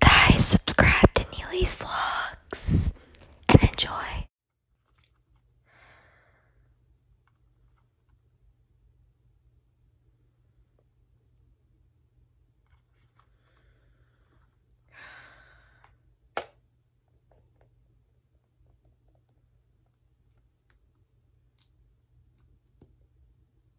Guys, subscribe to Neely's Vlogs and enjoy.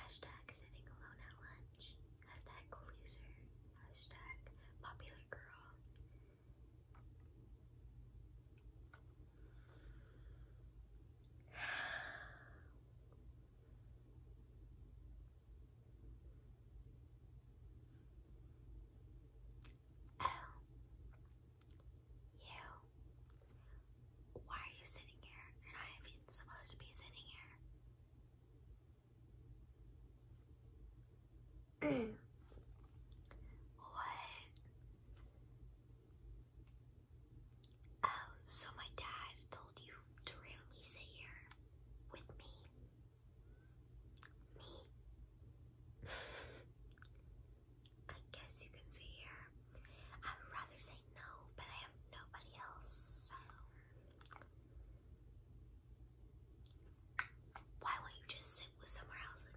Hashtag sitting alone at lunch. Hashtag loser. Hashtag popular girl. Oh. You. Why are you sitting here? And I am supposed to be sitting here. what? Oh, so my dad told you to randomly sit here with me. Me. I guess you can see here. I would rather say no, but I have nobody else, so. Why won't you just sit with somewhere else and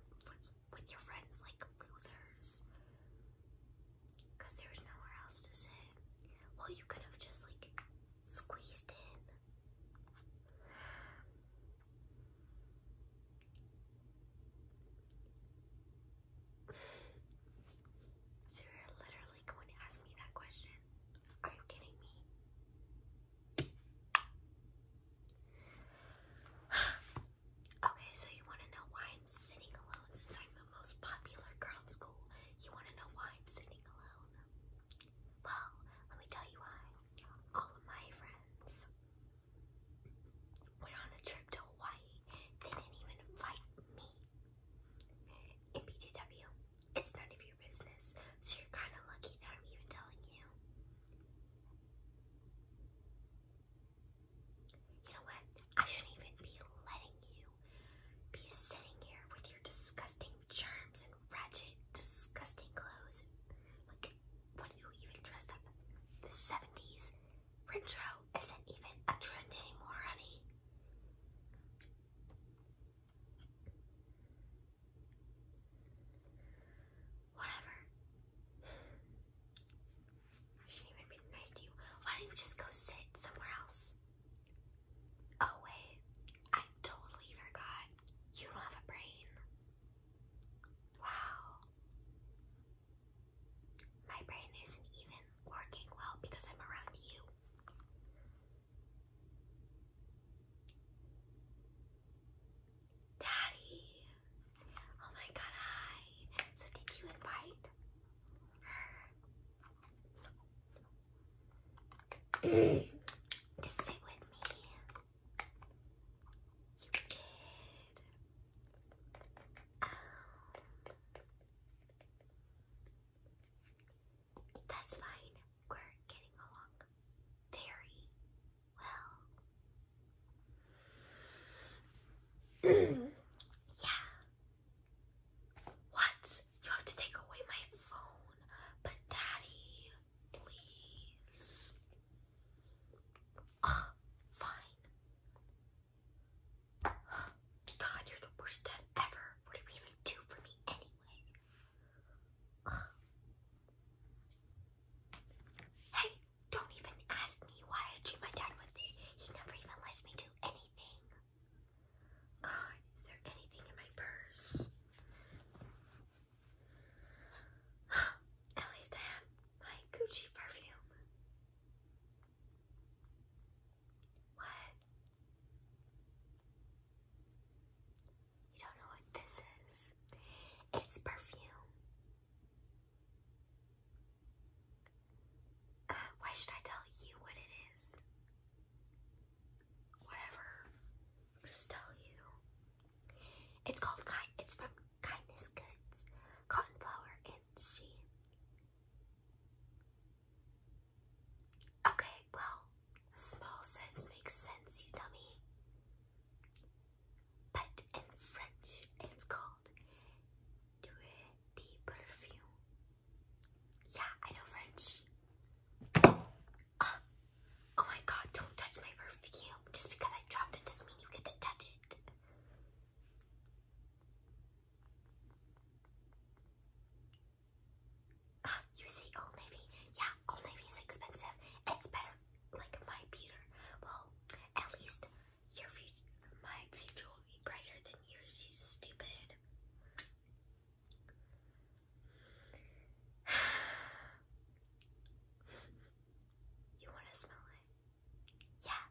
with your friends like losers? Because there was nowhere else to sit. Well, you could have just like squeezed in. So you're literally going to ask me that question? Are you kidding me? okay, so you want to know why I'm sitting alone since I'm the most popular girl in school? You want to know why I'm sitting alone? Well, let me tell you why. All of my friends went on a trip to Hawaii. They didn't even invite me. In BTW, it's none of your business, so you're kind of lucky that I'm even telling you. You know what? I shouldn't even be letting you be sitting here with your disgusting germs and ratchet, disgusting clothes. Like, what are you even dressed up the 70s? Retro isn't even a trend anymore, honey. Whatever. should even be nice to you. Why don't you just go sit somewhere else? Oh wait, I totally forgot. You don't have a brain. Wow. My brain isn't even working well because I'm around you. Daddy. Oh my god, hi. So did you invite her to sit with me? You um, that's fine. We're getting along very well. yeah. What? You have to take away my phone. But, Daddy, please. Ah, fine. God, you're the worst dad ever. What do you even do for me anyway? Ah. Hey, don't even ask me why I treat my dad with it. He never even lets me do anything. God, is there anything in my purse? At least I have my Gucci perfume. What? You don't know what this is. It's perfume. Uh, why should I tell you what it is? Whatever. just tell you. It's called Kind. It's from Kindness Goods, Cotton Flower, and she. Okay, well, small sense makes sense, you dummy. But in French, it's called Dure de Perfume. Yeah, I know French. Uh, Oh my god, don't touch my perfume. Just because I dropped it doesn't mean you get to touch it. Uh, you see, Old Navy. Yeah, Old Navy is expensive. It's better, like my Peter. Well, at least your future, my future will be brighter than yours. You stupid. You want to smell it? Yeah.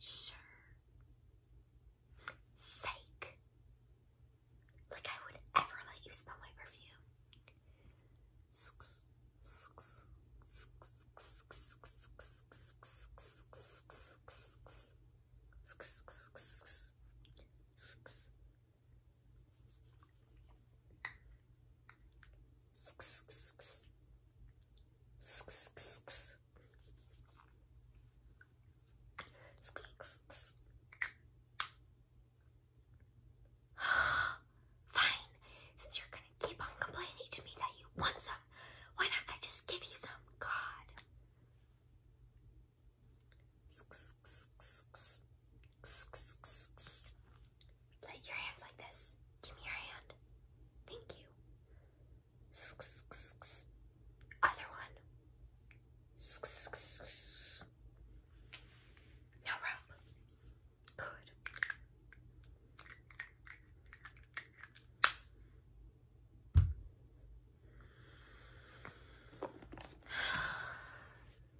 Sure. Sake. Like I would ever let you smell my perfume. Fine. Since you're gonna keep on complaining to me that you want some, why not I just give you some? God. Let your hands like this. Give me your hand. Thank you. Other one. Now rub. Good.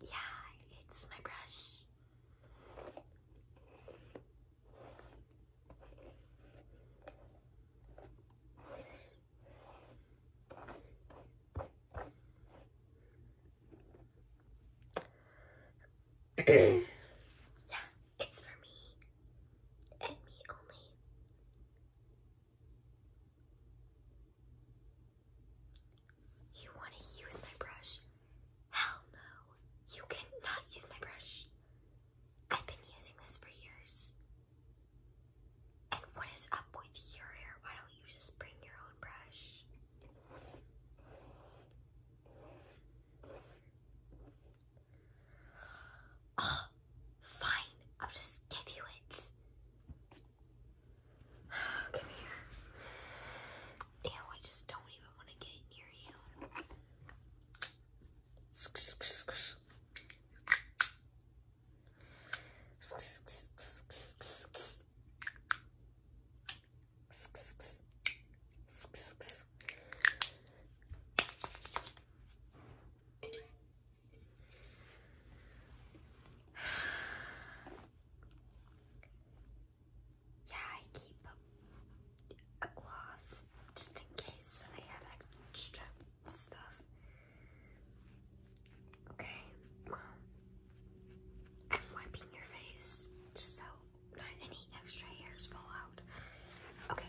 Yeah, it's my brush. yeah, it's for me and me only. You want to use my brush? Hell no. You cannot use my brush. I've been using this for years. And what is up with your hair? Why don't you just bring your own brush? Oh, fine. I'll just give you it. Come here. Ew, I just don't even want to get near you. yeah, I keep a, cloth just in case I have extra stuff. Okay, I'm wiping your face just so any extra hairs fall out. Okay.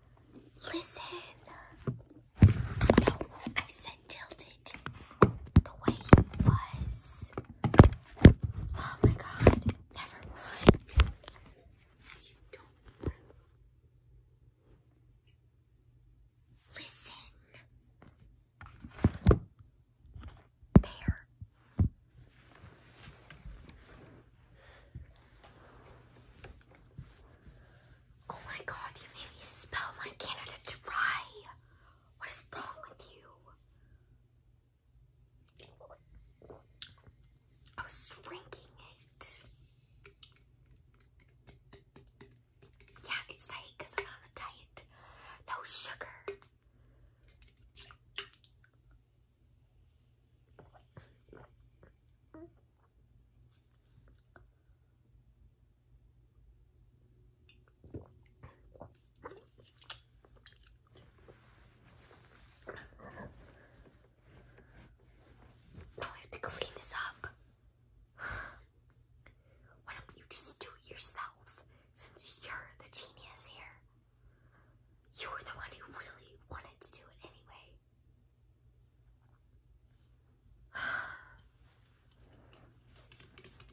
Listen. I said tilted the way it was. Oh my god. Never mind. You don't Listen. There. Oh my god, you made me spell my Canada dry. What is wrong with you? I was drinking it. Yeah, it's diet because I'm on a diet. No sugar. Now oh, I have to clean this up. Why don't you just do it yourself since you're the genius here? You were the one who really wanted to do it anyway.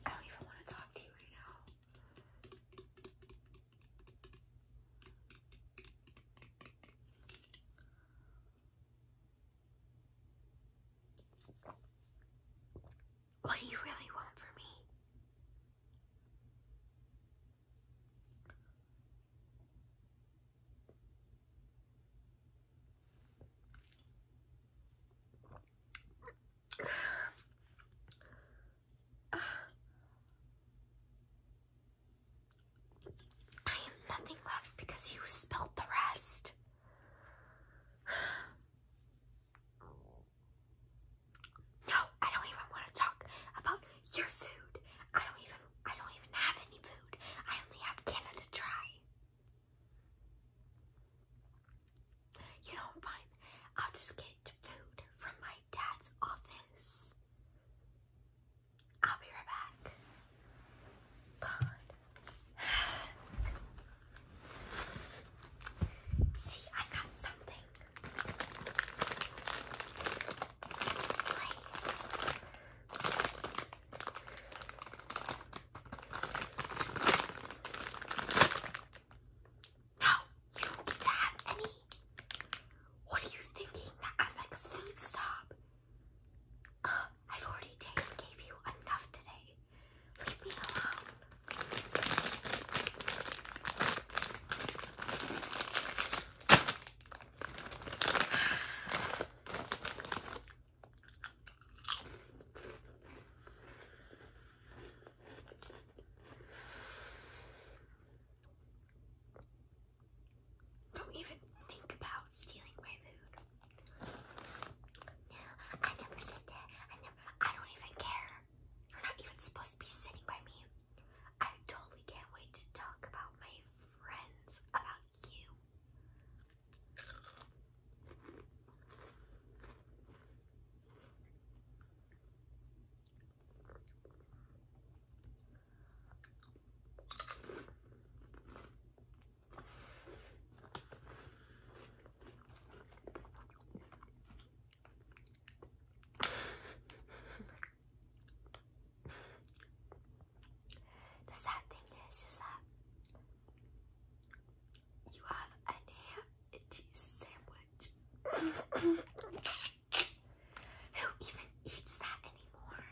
I don't even want to talk to you right now. What do you really want from me? I have nothing left because you spilled the rest. No, I don't even want to talk about your food. I don't even I don't even have any food. I only have Canada Dry. You know, fine. I'll just get food from my dad's office. I'll be right back. God. See, I got something. No, you get to have any. What are you thinking? That I'm like a food stop. Uh, i already gave you enough today. Leave me alone. Don't even think about stealing my food. No, I never said that. I never. I don't even care. You're not even supposed to be sitting by me. I totally can't wait to talk about my friends, about you. The sad thing is, is that you have a ham and cheese sandwich. Who even eats that anymore?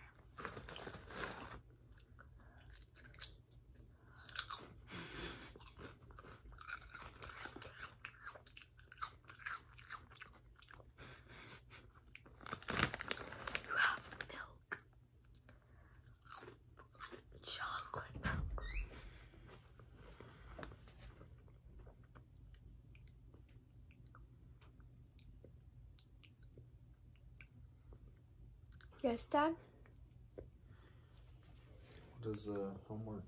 You have milk, chocolate milk. Yes, Dad? What is the homework?